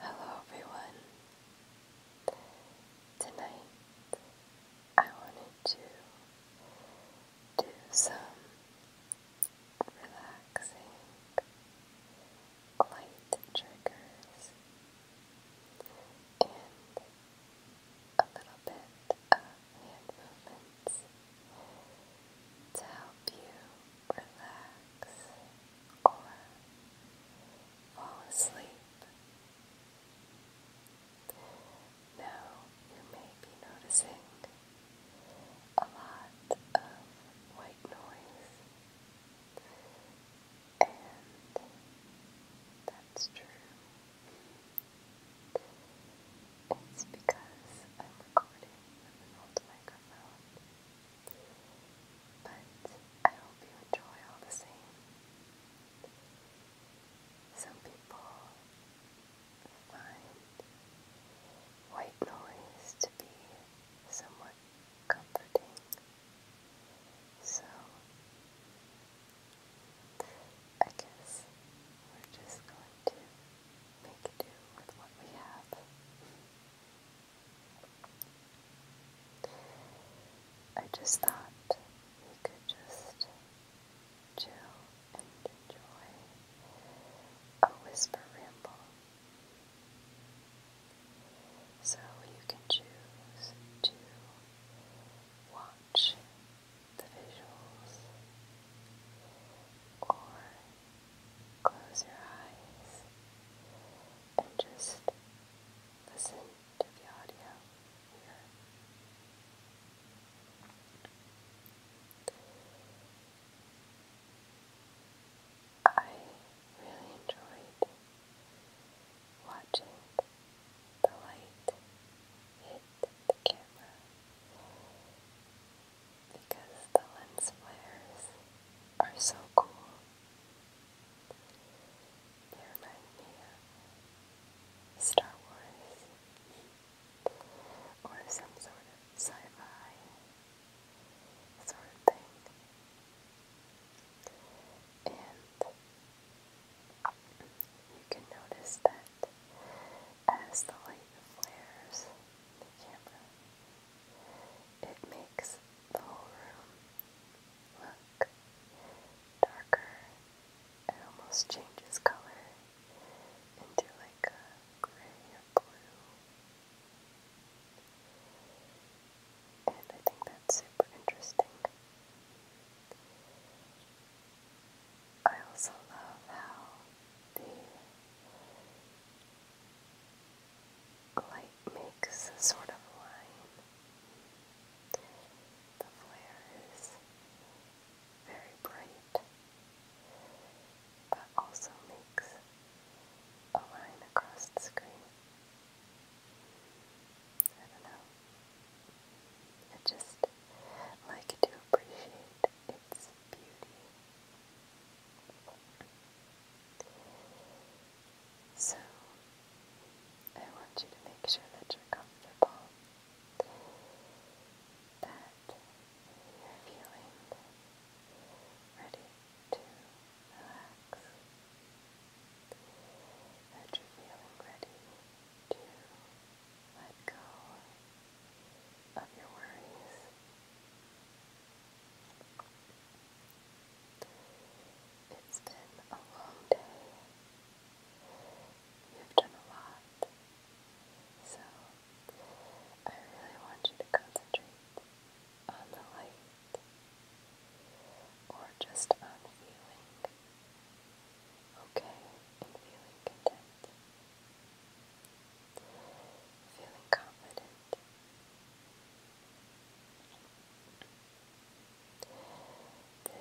Hello, everyone. Tonight I wanted to do some relaxing light triggers and a little bit of hand movements to help you relax or fall asleep. Now you may be noticing a lot of white noise, and that's true. It's because I'm recording with an old microphone. But I hope you enjoy the same. Some people find white noise to be somewhat comforting. So, I guess we're just going to make do with what we have. I just thought we could just chill and enjoy a whisper ramble. So you can choose to watch the visuals or Close your eyes and just listen to the audio I really enjoyed watching the light hit the camera because the lens flares are so cool. They remind me of Star Wars or some sort of sci-fi sort of thing. And you can notice that as the light flares, the camera. It makes the whole room look darker. It almost changes color into like a gray or blue. And I think that's super interesting. I also love how the Light makes a sort of line. The flare is very bright, but also makes a line across the screen. I don't know. I just like to appreciate its beauty. So, I want you to make sure that you're comfortable, that you're feeling ready to relax, that you're feeling ready to let go of your worries. It's been a long day. You've done a lot. So, I really want you to concentrate on the light or just on feeling okay and feeling content feeling confident.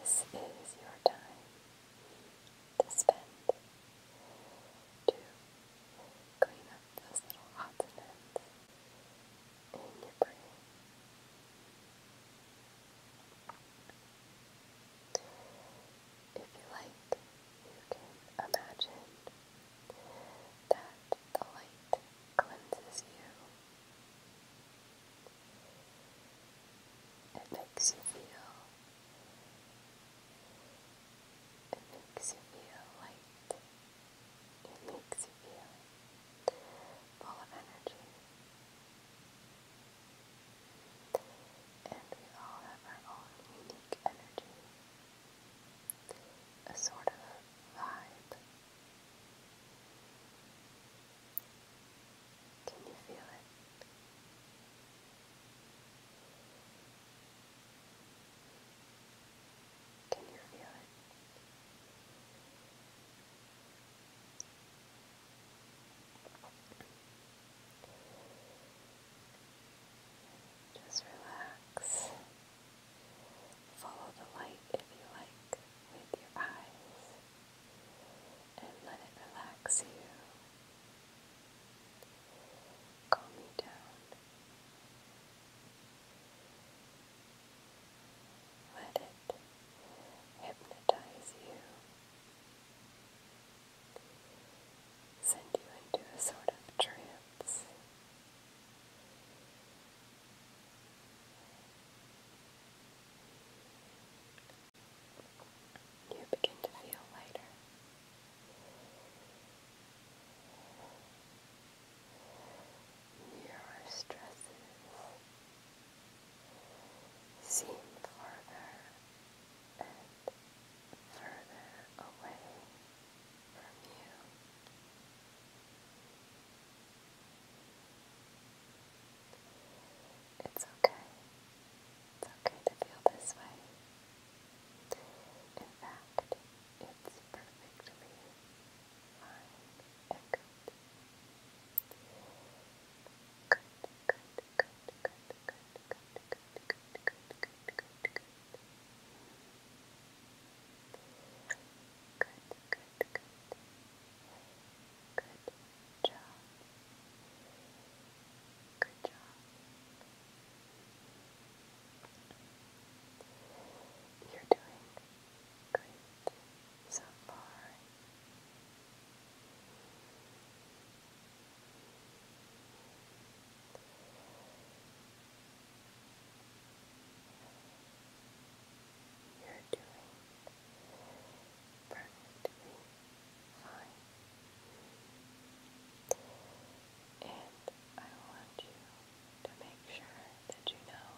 This is your time to spend to clean up those little odds in your brain. If you like, you can imagine that the light cleanses you. It makes you feel it makes you feel light. It makes you feel full of energy. And we all have our own unique energy a sort of vibe. Can you feel it? Can you feel it? Just relax. Follow the light if you like with your eyes and let it relax you. Calm you down. Let it hypnotize you send you into a sort of trance. You begin to feel lighter. Your stresses seem farther further away from you. It's okay. It's okay to feel this way. In fact, it's perfectly fine and good. Good, good, good, good, good good, good, good, good, good, good, good. Good, good, good. Good job. Good job. You're doing great so far. You're doing perfectly fine. And I want you to make sure that you know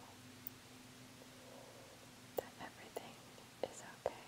that everything is okay.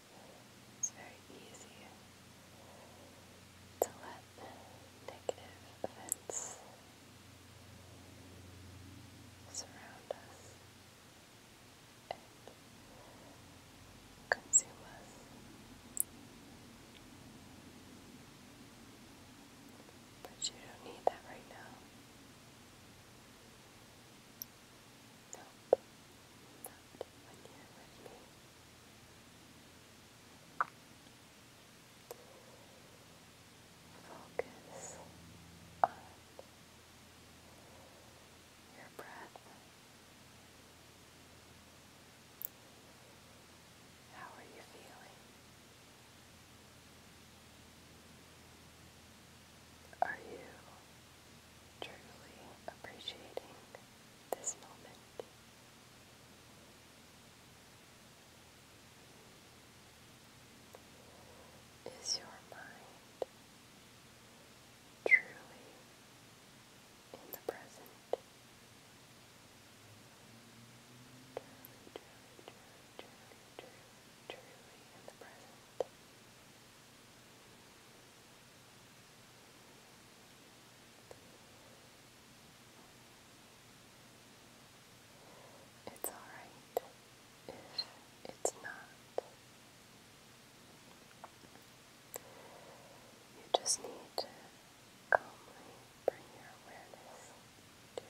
It's very easy to let negative events surround us and consume us. But you don't need that right now. Nope. you Focus on your breath. How are you feeling? Are you truly appreciating this moment. Is your mind truly in the present? Truly, truly, truly, truly, truly, in the present. It's alright if it's not. You just need to calmly bring your awareness to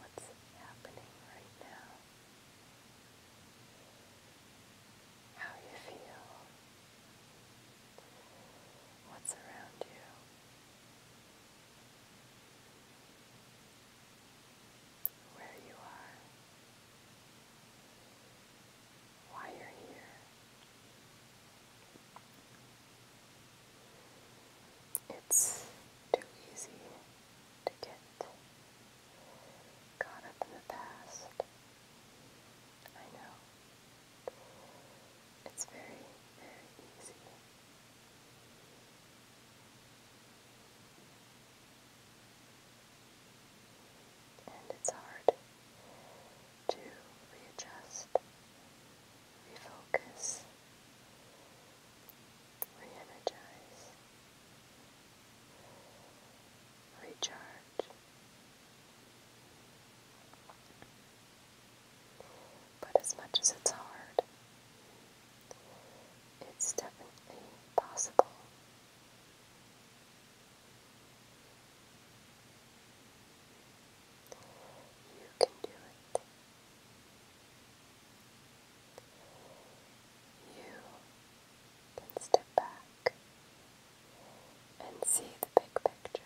what's happening right now how you feel, what's around you. Where you are, why you're here. It's too easy to get caught up in the past. I know. It's very, very easy. And it's hard to readjust, refocus, re energize, recharge. But as much as it's hard, it's definitely possible. You can do it. You can step back and see the big picture.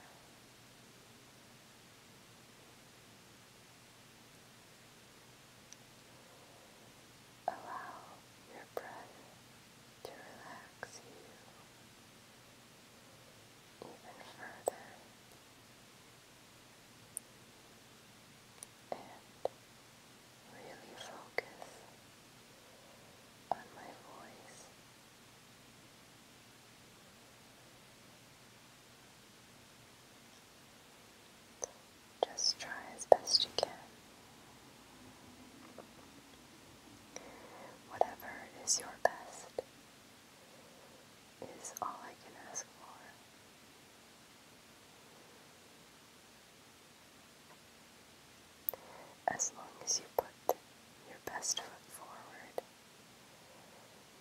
Allow your breath to relax you even further and really focus on my voice. Just try as best you can. Whatever is your best is all I can ask for. As long as you put your best foot forward,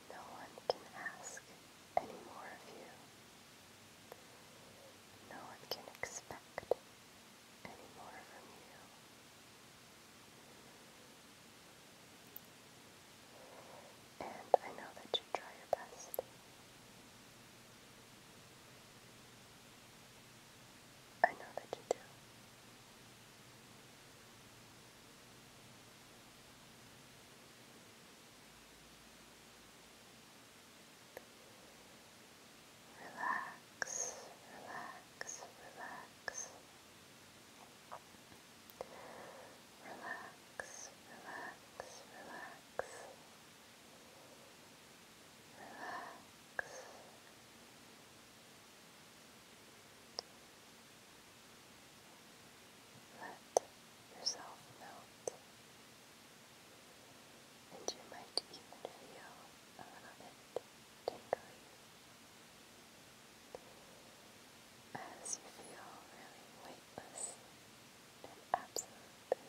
no one can ask any more of you. No one can expect any more from you. And I know that you try your best. I know that you do. Relax, relax, relax. Relax, relax, relax. Relax. Let yourself melt. And you might even feel a little bit tingly. As you feel really weightless and absolutely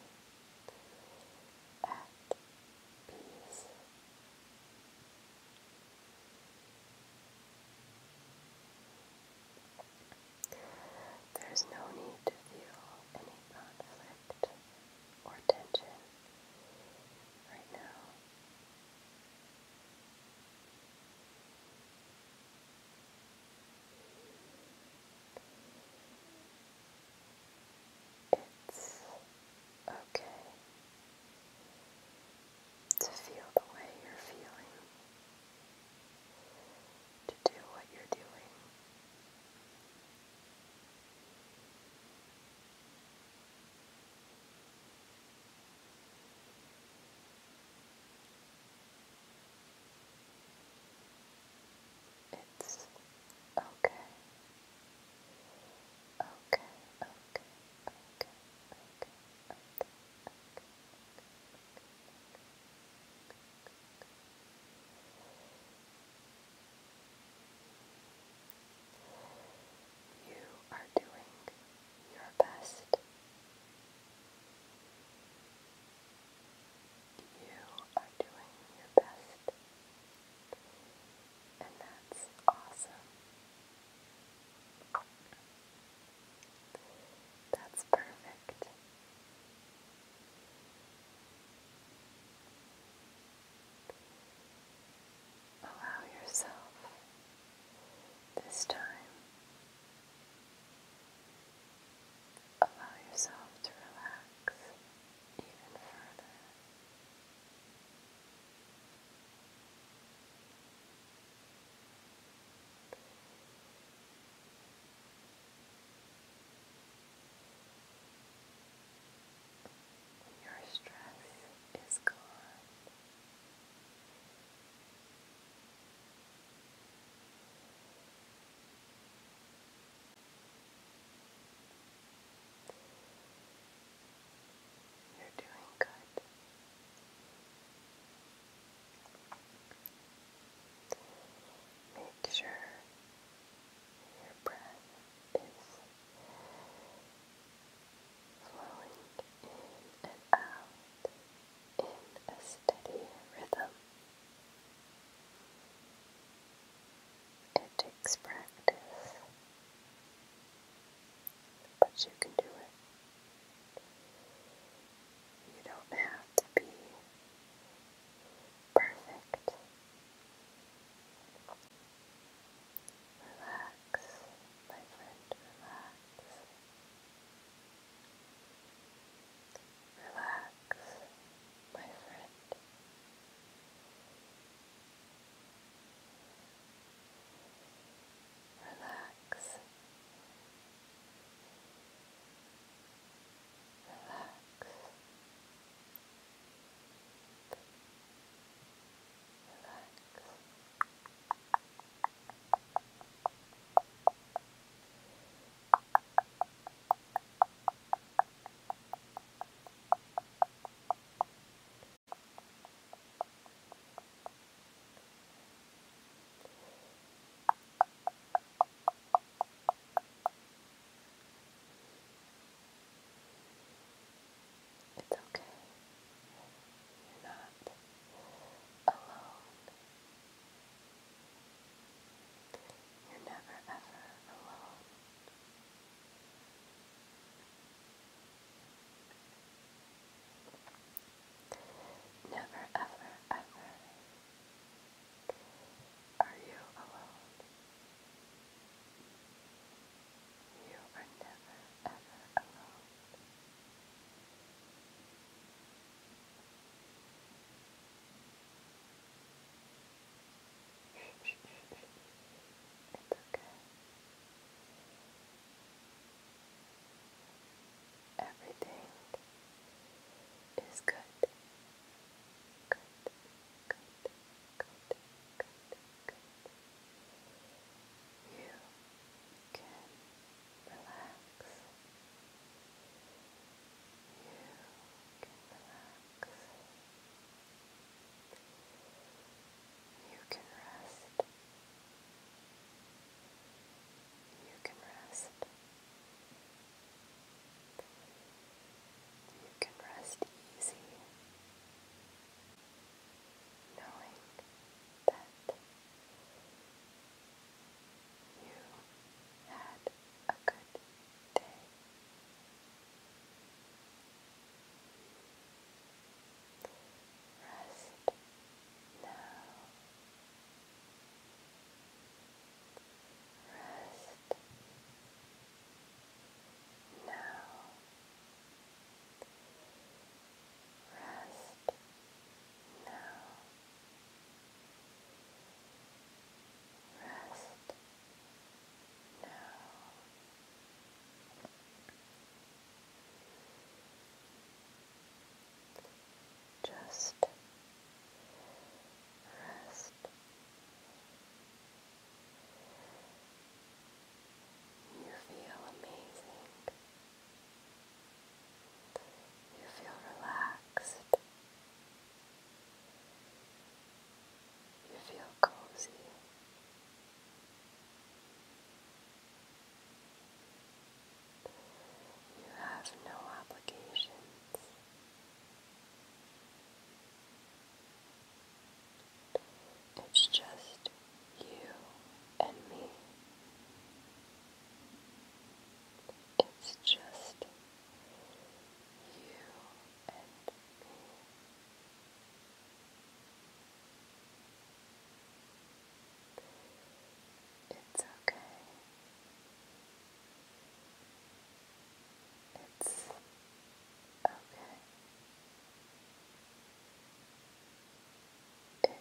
peace. There is no need to feel any conflict or tension right now. It's okay to feel the way you're feeling, to do what you're doing. It's okay. Okay, okay, okay, okay, okay, okay, okay. You are doing your best you are doing your best, and that's awesome. That's perfect. Allow yourself this time. Allow yourself to relax even further. Your stress is gone. You're doing good. Make sure your breath is flowing in and out in a steady rhythm. It takes practice, but you can do it. You don't have to be perfect. Relax, my friend, relax. Relax my friend. Relax. Relax. Relax. Relax. It's okay. You're not alone. You're never ever alone. Never, ever, ever are you alone. You are never, ever alone it's Everything is good. Good, good, good, good, good. You You can relax. You can relax you can rest. You can rest. You can rest easy, knowing that you had a good day. Rest now. Rest now. Rest now. Rest just rest. You feel amazing. You feel relaxed. You feel cozy. You have no obligations. It's just you and me. It's just you and me. It's okay. It's okay. It's okay.